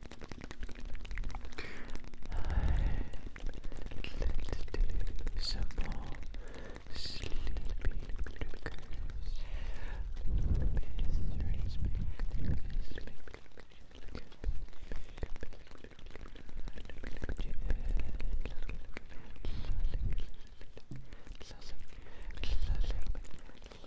let's do some more sleeping lookers. Love, love, love, love, love, love, love, love, love, love, love, love, love, love, love, love, love, love,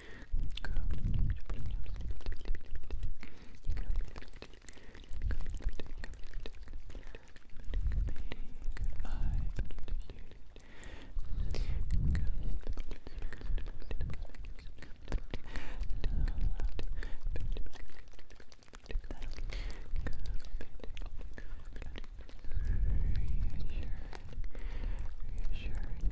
reassuring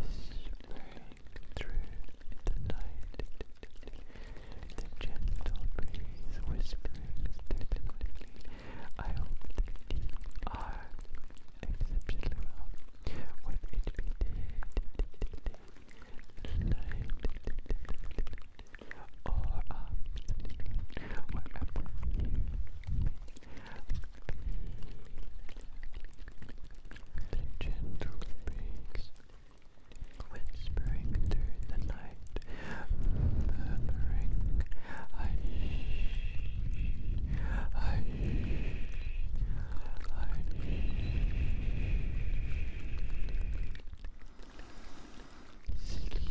whispering through the night. The gentle breeze whispering I hope that you are exceptionally well with HPD. Or afternoon, wherever you the gentle breeze whispering through the night, murmuring, I I I Sleep,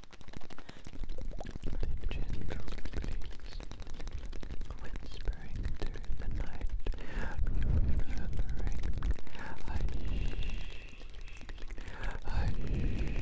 and gentle breeze whispering through the night, murmuring, I I I shh,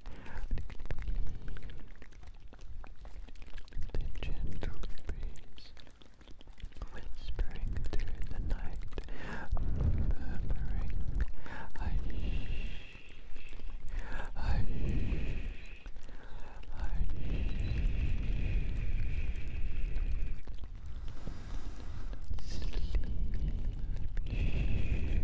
The gentle breeze whispering through the night, murmuring, hush, hush, hush. Sleep, sleep, sleep.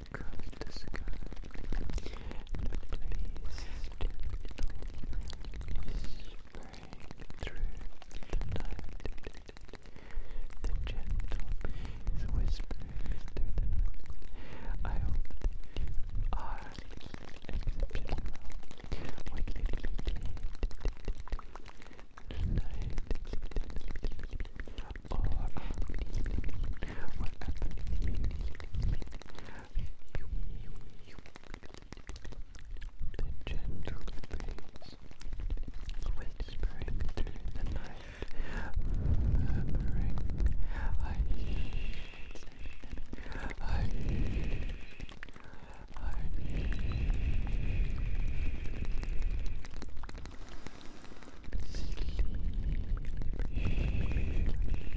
covered the sky. The breeze whispering through the night. The gentle breeze whispering through the night. I hope you are exceptional when you tonight or you the gentle breeze whispering through the night, murmuring, I shh, I shh, I shh. Sleep, sleep.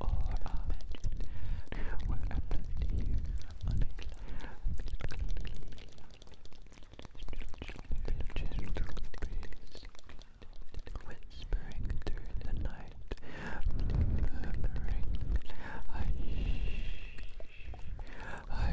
or our magic. We're uploaded here on a cloud breeze, whispering through the night, murmuring, hush, I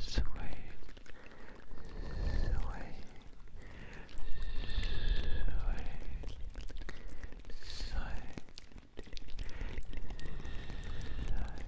sway,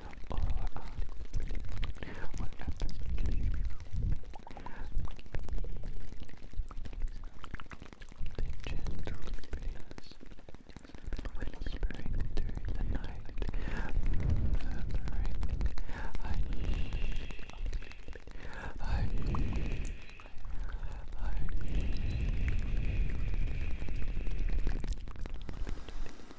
or uh, the gentle breeze whispering during the night, murmuring, I I I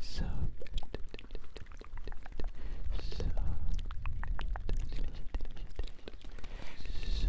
so so so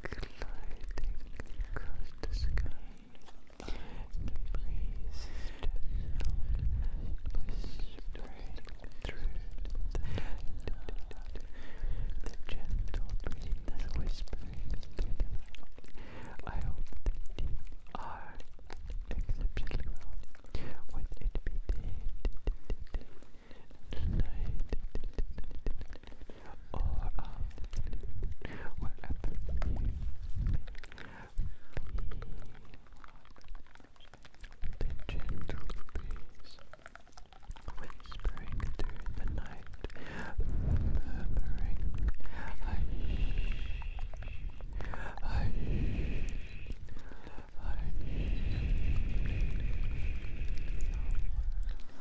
gliding across the sky. The breeze whispering through the night. The gentle breeze whispering through the night. I hope that you exceptionally well. Would it be day, day, day, day, day, night? or on wherever you may The gentle breeze whispering through the night, murmuring, hush, hush, hush.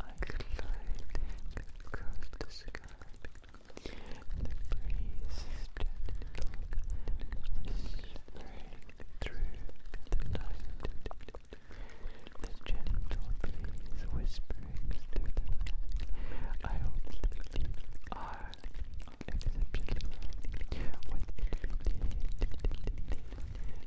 like light across the sky. The breeze is gentle, whispering through the night. The gentle breeze whispering through the hope that you are exceptional with it.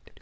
Jen,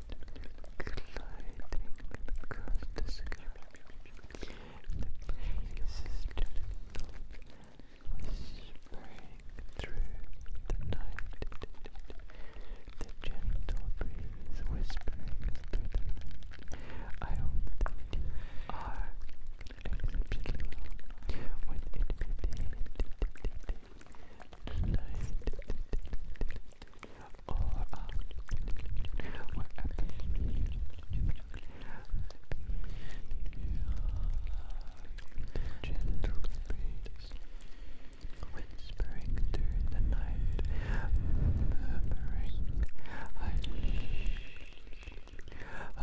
gliding across the sky. The prairie system whispering through the night. The gentle breeze whispering through the night. I hope that you are exceptionally well or out you gentle breeze whispering through the night, murmuring, I I I I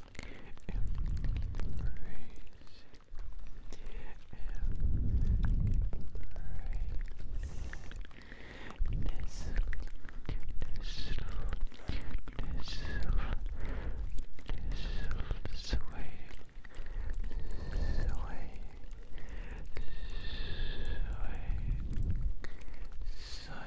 sway,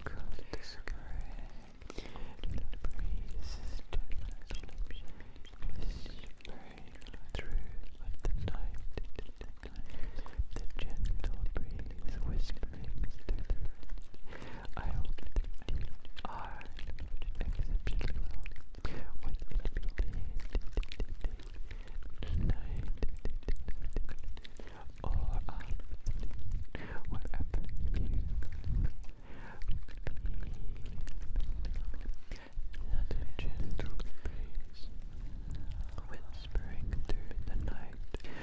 across the sky. The breeze is whispering through the night. The gentle breeze whispering through I hope that you are exceptionally well tonight, or on wherever you let gentle breeze whispering through the night,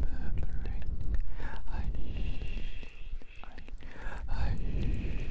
murmuring, hush, hush, hush.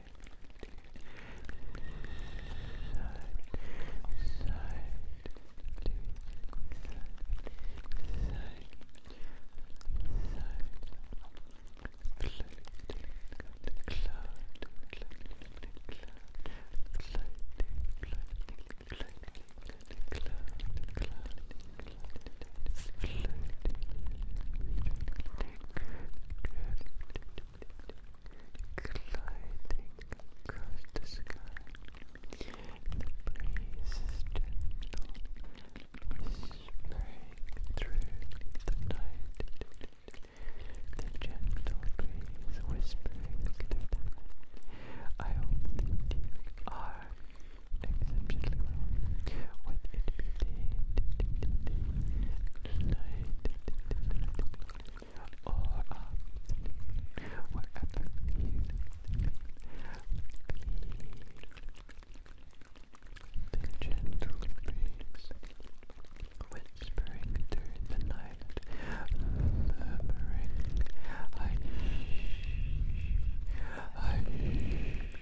cloud, gliding the breeze is gentle, whispering through the night. The gentle breeze whispering through the night. I hope that you are exceptionally well or afternoon, wherever you feel the gentle breeze whispering through the night, murmuring, I, I.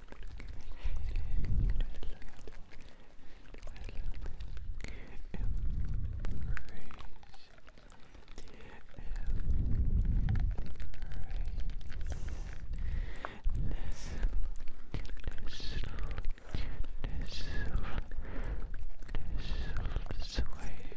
Sway, sway, sway,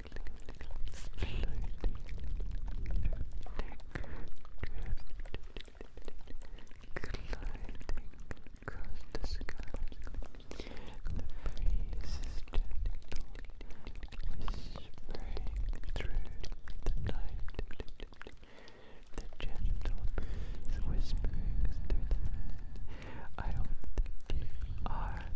across the sky. The breeze is through the night. The gentle breeze whispers through the night. I hope that you are